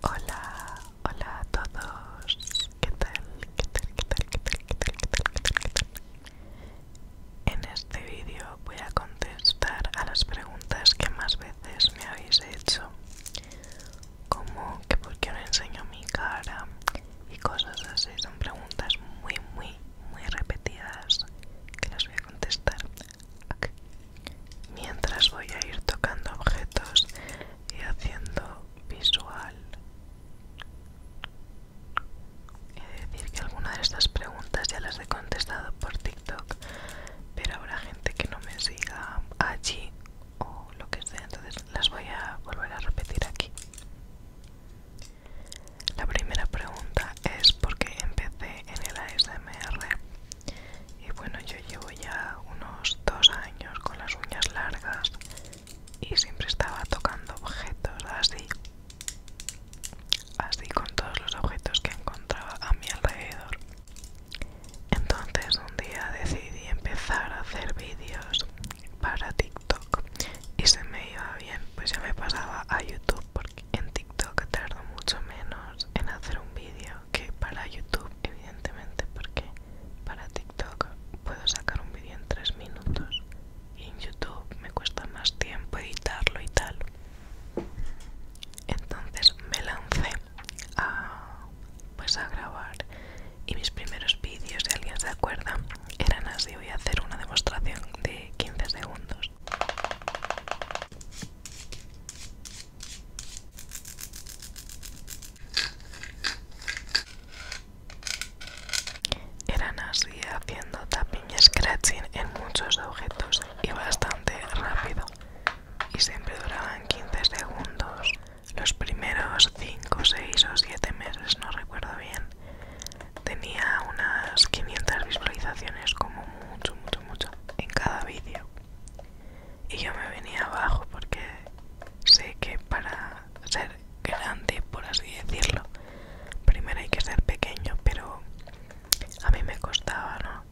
Hola, hola a todos. ¿Qué tal? ¿Qué tal? ¿Qué tal? ¿Qué tal? ¿Qué tal? En este vídeo voy a contestar a las preguntas que más veces me habéis hecho. Como que por qué no enseño mi cara y cosas así. Son preguntas muy, muy, muy repetidas que las voy a contestar mientras voy a ir tocando objetos y haciendo visual. es decir que alguna de estas preguntas ya las he contestado por TikTok, pero habrá gente que no me siga allí o lo que sea, entonces las voy a volver a repetir aquí. La primera pregunta es por qué empecé en el ASMR y bueno yo llevo ya unos dos años con las uñas largas y siempre estaba tocando objetos así así con todos los objetos que encontraba a mi alrededor entonces un día decidí empezar a hacer vídeos para TikTok y se me iba bien pues ya me pasaba a YouTube porque en TikTok tardo mucho menos en hacer un vídeo que para YouTube, evidentemente, porque para TikTok puedo sacar un vídeo en 3 minutos y en YouTube me cuesta más tiempo editarlo y tal. Entonces me lancé a, pues a grabar y mis primeros vídeos, si alguien se acuerda, eran así. Voy a hacer una demostración de 15 segundos. Eran así haciendo tapping y scratching en muchos objetos y bastante rápido y siempre duraban 15 segundos. Los primeros 5, 6 o 7 meses, no recuerdo bien, tenía unas 500 visualizaciones como mucho, mucho, mucho en cada vídeo y yo me venía abajo porque sé que para ser grande por así decirlo primero hay que ser pequeño pero a mí me costaba no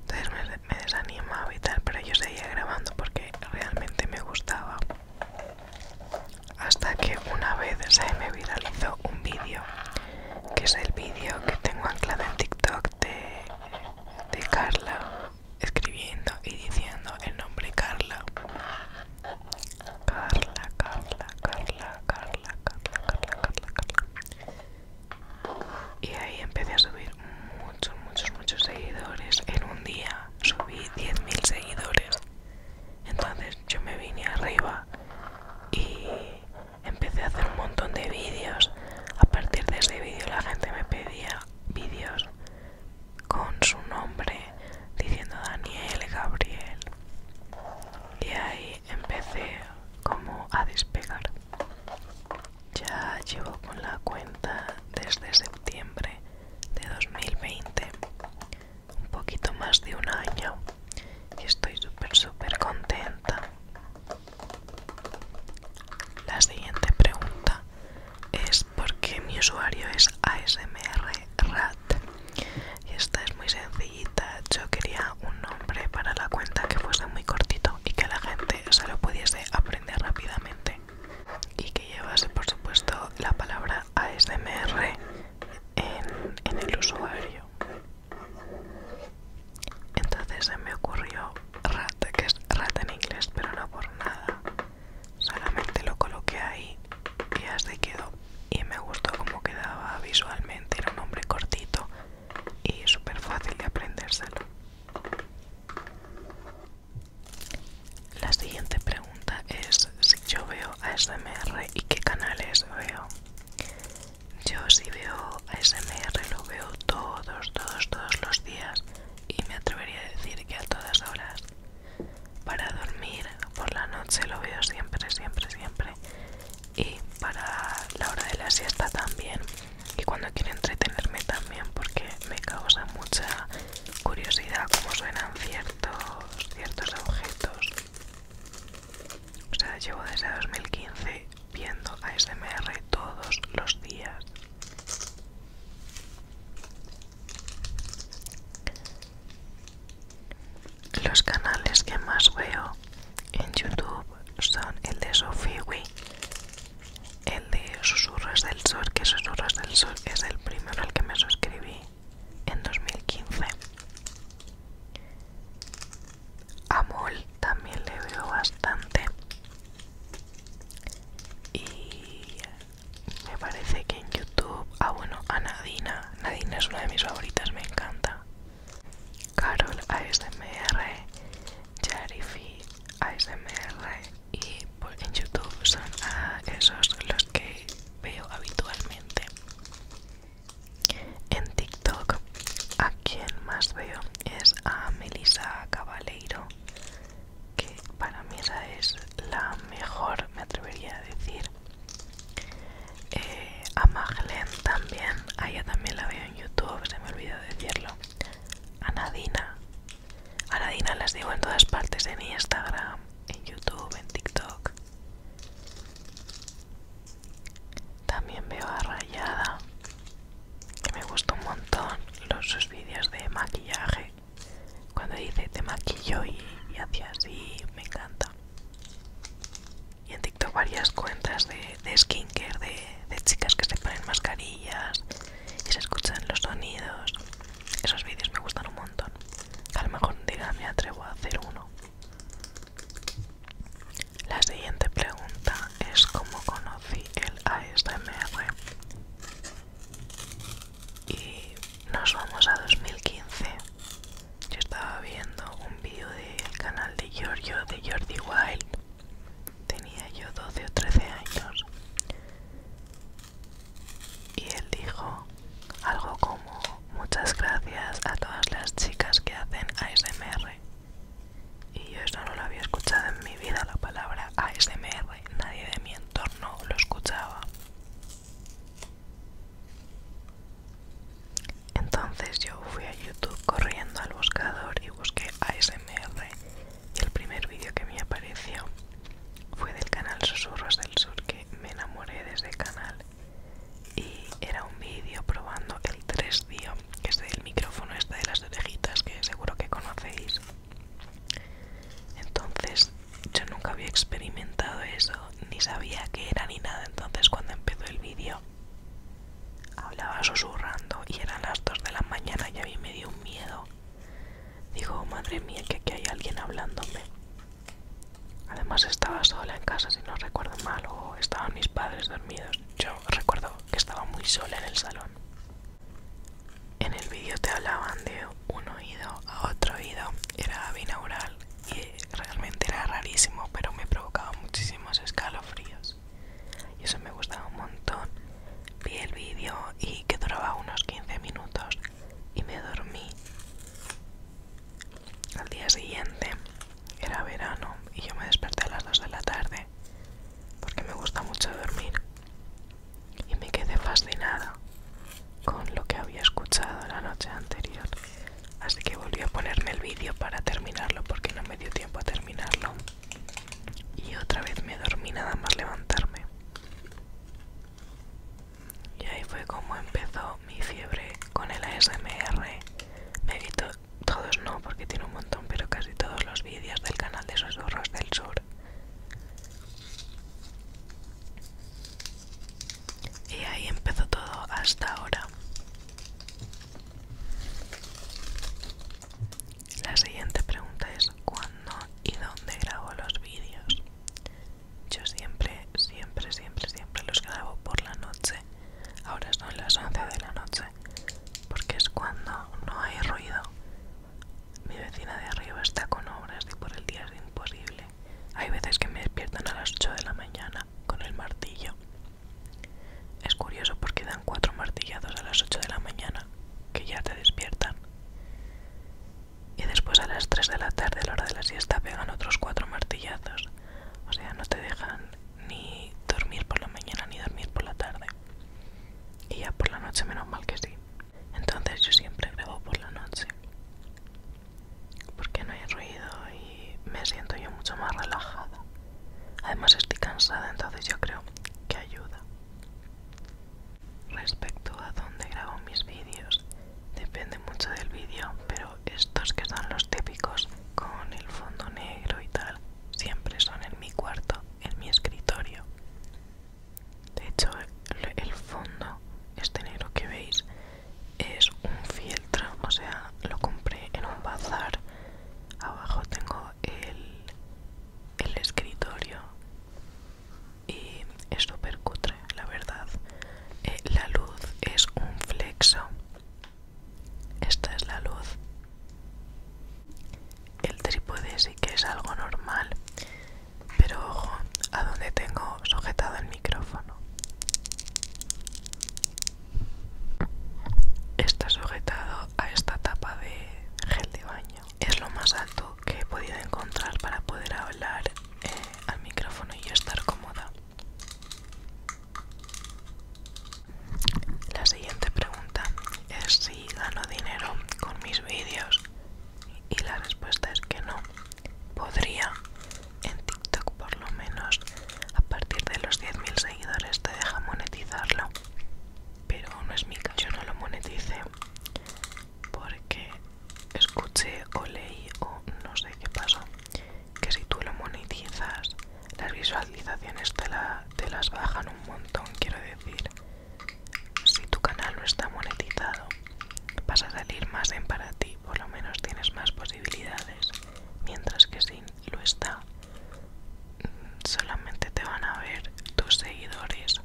entonces me, desanimaba y tal pero yo seguía grabando porque realmente me gustaba hasta que una vez me viralizó un vídeo que es el vídeo que tengo anclado en TikTok de de Carla escribiendo y diciendo el nombre Carla. Carla, Carla, Carla, Carla, Carla, Carla, Carla, Carla. Y ahí empecé a subir muchos, muchos, muchos seguidores. En un día subí 10.000 seguidores. Entonces yo me vine arriba y empecé a hacer un montón de vídeos. A partir de ese vídeo la gente me pedía vídeos con su nombre diciendo Daniel, Gabriel. Y ahí empecé como a despegar. Ya llevo con la cuenta desde septiembre de 2020, un poquito más de un año, y estoy súper, súper contenta. La siguiente pregunta es por qué mi usuario es ASMRRat. Y esta es muy sencillita. Yo quería un nombre para la cuenta que fuese muy cortito y que la gente se lo pudiese aprender rápidamente. Y que llevase, por supuesto, la palabra ASMR en el usuario. Entonces se me ocurrió rat, que es rat en inglés, pero no por nada. Solamente lo coloqué ahí y así quedó. Y me gustó como quedaba visualmente, era un nombre cortito y súper fácil de aprendérselo. La siguiente pregunta es si yo veo a SMR y qué canales veo. Yo si veo ASMR lo veo todos, todos, todos los días y me atrevería a decir que a todas horas. Para dormir por la noche lo veo siempre, siempre, siempre. Y para la hora de la siesta también. Y cuando quiero entretenerme también porque me causa mucha curiosidad cómo suenan ciertos, ciertos objetos. O sea, llevo desde 2015 viendo ASMR todos los días. Los canales que más veo en YouTube son el de Sofiwi, el de Susurros del Sol, que Susurros del Sol es el primero al que me suscribí en 2015 a también le veo bastante y me parece que en YouTube ah bueno a Nadina Nadina es una de mis favoritas me encanta Carol ASMR Jarifi ASMR y en YouTube son ah, esos los que veo habitualmente en TikTok, a quien más veo es a Melissa Cabaleiro, que para mí esa es la mejor, me atrevería a decir. Eh, a Maglen también, a ella también la veo en YouTube, se me olvidó decirlo. A Nadina, a Nadina las digo en todas partes, en Instagram, en YouTube, en TikTok. También veo a Rayada, que me gusta un montón los sus vídeos de maquillaje. Cuando dice te maquillo y, y así, me encanta. Y en TikTok varias cuentas de, de skincare, de, de chicas que se ponen mascarillas y se escuchan los sonidos. Esos vídeos me gustan un montón. A lo mejor diga, me atrevo a hacer uno. La siguiente pregunta es cómo conocí el ASMR. Y nos vamos a 2015. Yo estaba viendo un vídeo del canal de Giorgio de Jordi Wild. Tenía yo 12 o 13 años. Y él dijo algo como muchas gracias a todas las chicas que hacen ASMR y yo esto no lo había escuchado en mi vida la palabra ASMR nadie de mi entorno lo escuchaba entonces yo fui a YouTube corriendo al buscador y busqué ASMR y el primer vídeo que me apareció fue del canal Susurros del Sur que me enamoré de ese canal y era un vídeo probando el 3D que es el micrófono este de las orejitas que seguro que conocéis entonces yo nunca había experimentado eso ni sabía qué era ni nada entonces cuando empezó el vídeo hablaba susurrando y eran las 2 de la mañana y a mí me dio un miedo Dijo, madre mía que aquí hay alguien hablándome además estaba sola en casa si no recuerdo mal o estaban mis padres dormidos. Yo recuerdo que estaba muy sola en el salón. En el vídeo te hablaban de un oído a otro oído, era binaural y realmente era rarísimo, pero me provocaba muchísimos escalofríos. Y eso me gustaba un montón. Vi el vídeo y que duraba unos 15 minutos y me dormí. Al día siguiente era verano y yo me desperté a las 2 de la tarde porque me gusta mucho dormir y me quedé fascinada con lo que había escuchado la noche anterior. Así que volví a ponerme el vídeo para terminarlo porque no me dio tiempo a terminarlo. Y otra vez me dormí nada más levantarme. Y ahí fue como empezó mi fiebre con el ASMR. Me todos no porque tiene un montón, pero casi todos los vídeos del canal de Susurros del Sur. Y ahí empezó todo hasta ahora. La siguiente pregunta es ¿cuándo y dónde grabo los vídeos? Yo siempre, siempre, siempre, siempre los grabo por la noche Ahora son las 11 de la noche, porque es cuando no hay ruido. Mi vecina de arriba está con obras y por el día es imposible. Hay veces que me despiertan a las 8 de la mañana con el martillo. Es curioso porque dan cuatro martillazos a las 8 de la mañana, que ya te despiertan. Y después a las 3 de la tarde, a la hora de la siesta, pegan otros cuatro martillazos. O sea, no te dejan ni dormir por la mañana ni dormir por la tarde. Y ya por la noche menos mal que sí. Entonces yo siempre grabo por la noche. Porque no hay ruido y me siento yo mucho más relajada. Además estoy cansada, entonces yo creo que ayuda. Respecto a dónde grabo mis vídeos, depende mucho del vídeo, pero estos que son los típicos con el fondo negro y tal siempre son en mi cuarto, en mi escritorio. De hecho, el, fondo, este negro que veis, es un fieltro, o sea, lo compré en un bazar. Abajo tengo el, escritorio y es súper cutre, la verdad. Eh, la luz es un flexo esta es la luz. El trípode sí que es algo normal, pero ojo a donde tengo sujetado el micrófono. Está sujetado a esta tapa de gel de baño. Es lo más alto que he podido encontrar para poder hablar eh, al micrófono y estar cómoda. La siguiente pregunta es si gano dinero con mis vídeos y la respuesta es que no. Podría, en TikTok por lo menos, a partir de los 10.000 seguidores te deja monetizarlo. Pero no es mi caso, yo no lo monetice porque escuché o leí o no sé qué pasó que si tú lo monetizas las visualizaciones te, las bajan un montón quiero decir si tu canal no está monetizado vas a salir más en para ti por lo menos tienes más posibilidades mientras que si lo está solamente te van a ver tus seguidores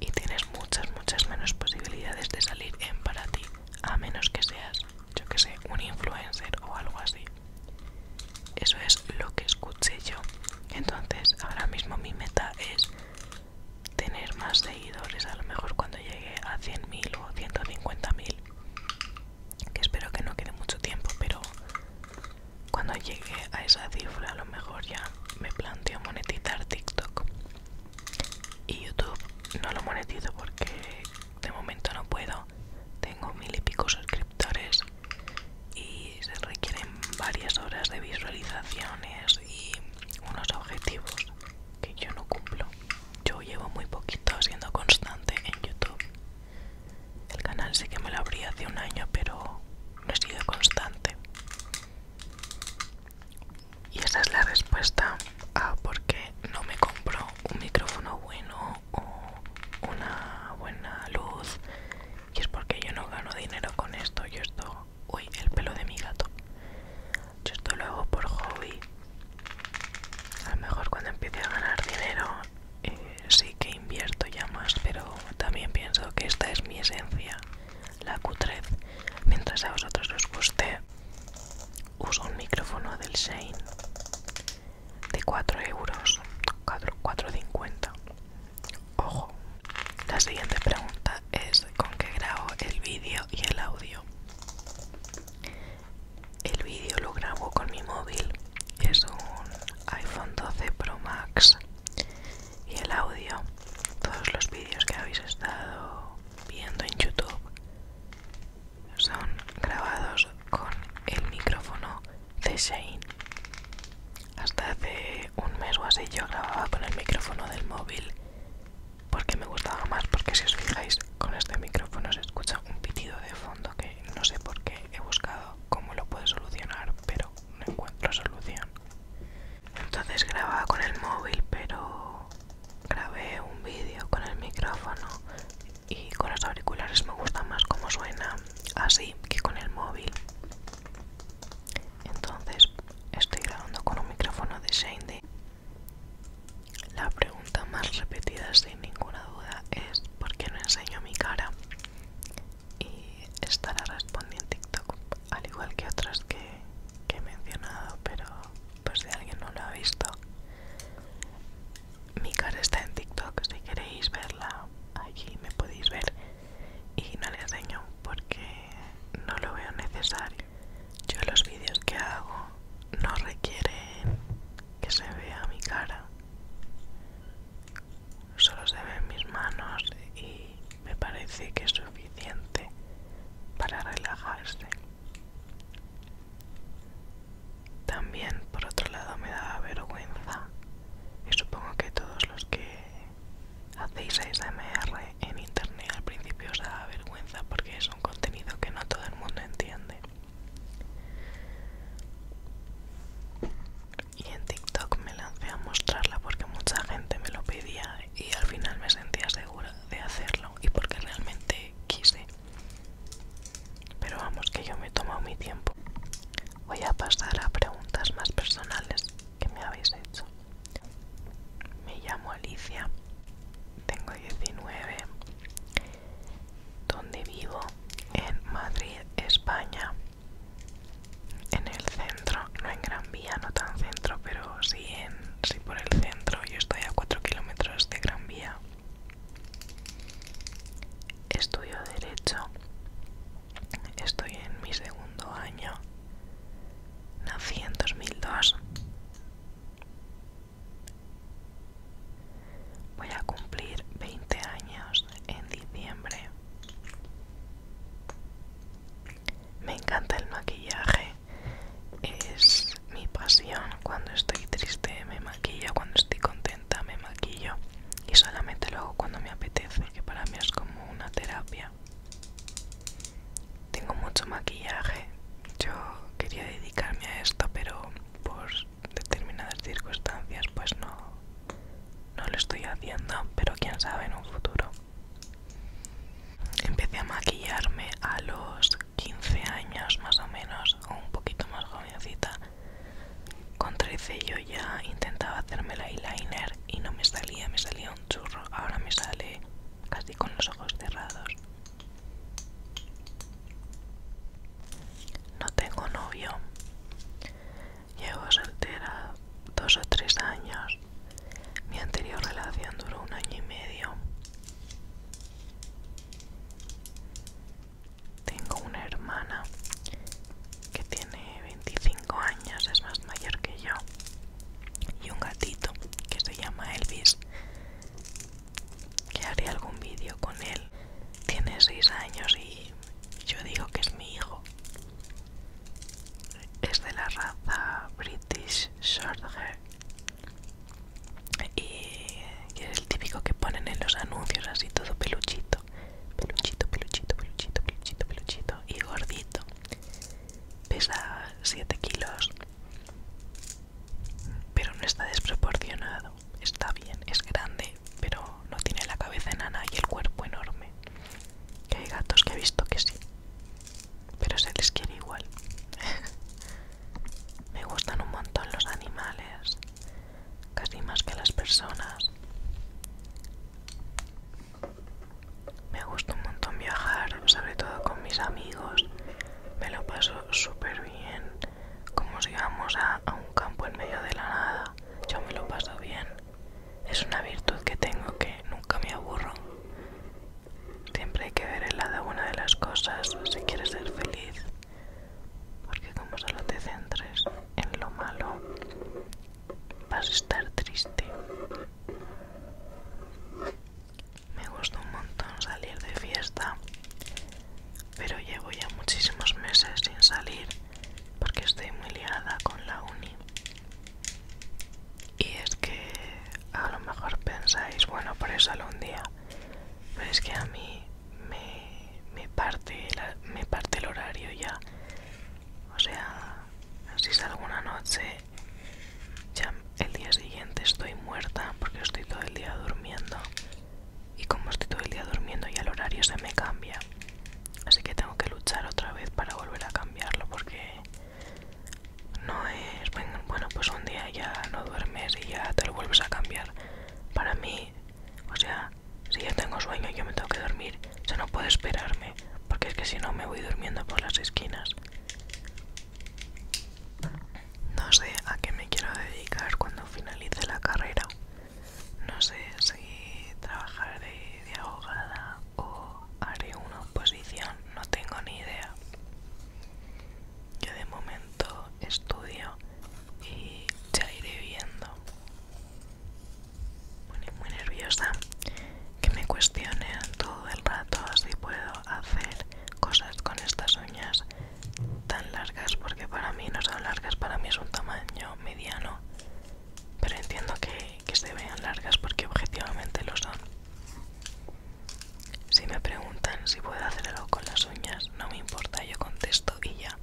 y tienes muchas muchas menos posibilidades de salir en para ti a menos que seas yo que sé, un influencer o algo así. Eso es lo que escuché yo. Entonces, ahora mismo mi meta es tener más seguidores, a lo mejor cuando llegue a 100.000 o 150.000. Que espero que no quede mucho tiempo, pero cuando llegue a esa cifra, a lo mejor ya me planteo monetizar TikTok. Y YouTube no lo monetizo porque de momento no puedo tengo mil y pico suscriptores y se requieren varias horas de visualizaciones y unos objetivos que yo no cumplo yo llevo muy poquito siendo constante en youtube el canal sí que me lo abrí hace un año pero no he sido constante y esa es la respuesta a por qué no me compro un micrófono bueno o una buena luz. Y es porque yo no gano dinero con esto. Yo esto... Uy, el pelo de mi gato. Yo esto lo hago por hobby. A lo mejor cuando empiece a ganar dinero eh, sí que invierto ya más, pero también pienso que esta es mi esencia, la cutrez. Mientras a vosotros os guste, Uso un micrófono del Shane de 4 euros, 4,50. Ojo, la siguiente pregunta es con qué grabo el vídeo y el audio. El vídeo lo grabo con mi móvil, es un iPhone 12 Pro Max. Y el audio, todos los vídeos que habéis estado viendo en YouTube son grabados con el micrófono de Shane. Hasta hace un mes o así yo grababa con el micrófono del móvil porque me gustaba más, porque si os fijáis con este micrófono se escucha un pitido de fondo que no sé por qué he buscado cómo lo puedo solucionar, pero no encuentro solución. Entonces grababa con el móvil, pero grabé un vídeo con el micrófono y con los auriculares me gusta más como suena así que con el móvil entonces estoy grabando con un micrófono de Shandy la pregunta más repetida sin ninguna duda es ¿por qué no enseño mi cara? y estará respondiendo en TikTok al igual que otras que que he mencionado, pero pues si alguien no lo ha visto, mi cara está en TikTok, si queréis verla, allí me podéis ver y no le enseño porque no lo veo necesario. Yo los vídeos que hago no requieren que se vea mi cara, solo se ven mis manos y me parece que es suficiente para relajarse también, por otro lado, me da vergüenza, y supongo que todos los que hacéis ASMR en internet al principio os daba vergüenza porque es un contenido que no todo el mundo entiende. Y en TikTok me lancé a mostrarla porque mucha gente me lo pedía y al final me sentía segura de hacerlo y porque realmente quise. Pero vamos, que yo me he tomado mi tiempo. Voy a pasar a preguntas más personales que me habéis hecho. Me llamo Alicia, tengo 19. ¿Dónde vivo? En Madrid, España. En el centro, no en Gran Vía, no tan centro, pero sí en Sí, por el centro. Yo estoy a 4 kilómetros de Gran Vía. Estudio Derecho. Estoy en mi segundo año. Nací en 2002. Voy a cumplir 20 años en diciembre. Me encanta el maquillaje, es mi pasión. Cuando estoy triste me maquillo, cuando estoy contenta me maquillo y solamente lo hago cuando me apetece, que para mí es como una terapia. Tengo mucho maquillaje, yo quería dedicarme a esto, pero por determinadas circunstancias pues no, no lo estoy haciendo, pero quién sabe en un futuro. Empecé a maquillarme a los 15 años más o menos, o un poquito más jovencita. Con 13 yo ya intentaba hacerme el eyeliner y no me salía, me salía un churro. Ahora me sale casi con los ojos cerrados. No tengo novio. Llevo soltera dos o tres años. Mi anterior relación duró un año y medio. Tengo una hermana que tiene 25 años, es más mayor que yo. Y un gatito que se llama Elvis, que haré algún vídeo con él. Tiene 6 años y yo digo que es mi hijo es de la raza British Shorthair y es el típico que ponen en los anuncios así todo peluchito peluchito peluchito peluchito peluchito peluchito y gordito pesa 7 kilos pero no está desproporcionado está bien es grande pero no tiene la cabeza enana y el cuerpo enorme que hay gatos que he visto que sí pero se les quiere igual. Me gustan un montón los animales, casi más que las personas. Me gusta un montón viajar, sobre todo con mis amigos. Me lo paso súper bien. Como si vamos a, a un campo en medio de la nada. Yo me lo paso bien. Es una virtud que tengo que nunca me aburro. Siempre hay que ver el lado bueno de las cosas pues, si quieres ser feliz. Porque como solo te centres en lo malo, vas a estar triste. Me gusta un montón salir de fiesta, pero llevo ya muchísimos meses sin salir porque estoy muy liada con la uni. Y es que a lo mejor pensáis, bueno, por eso algún día. Pero es que a mí me, me, parte, me parte el horario ya. O sea, si es alguna noche, ya el día siguiente estoy muerta porque estoy todo el día durmiendo. Y como estoy todo el día durmiendo ya el horario se me cambia. Así que tengo que luchar otra vez para volver a cambiarlo porque no es, bueno, pues un día ya no duermes y ya te lo vuelves a cambiar. Para mí, o sea, si ya tengo sueño y yo me tengo que dormir, ya no puedo esperarme, porque es que si no me voy durmiendo por las esquinas. No sé a qué me quiero dedicar cuando finalice la carrera. No sé si trabajar de abogada o haré una oposición, no tengo ni idea. Yo de momento estudio y ya iré viendo. muy nerviosa que me cuestionen todo el rato si puedo hacer cosas con estas uñas tan largas porque para mí no son largas, para mí es un tamaño mediano. Pero entiendo que que se vean largas porque objetivamente lo son. Si me preguntan si puedo hacer algo con las uñas, no me importa, yo contesto y ya.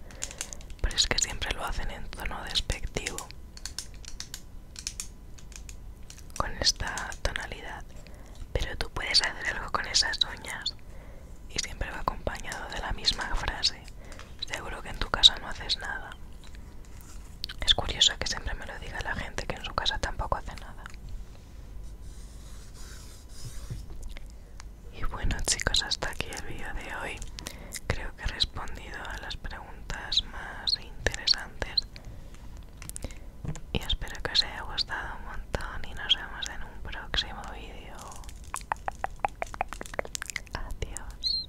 Pero es que siempre lo hacen en tono despectivo. Con esta tonalidad. Pero tú puedes hacer algo con esas uñas. Y siempre va acompañado de la misma frase. Seguro que en tu casa no haces nada. Es curioso que siempre me lo diga la gente que en su casa tampoco hace nada. Y bueno chicos, hasta aquí el vídeo de hoy. Creo que he respondido a las preguntas más interesantes. Y espero que os haya gustado un montón y nos vemos en un próximo vídeo. Adiós.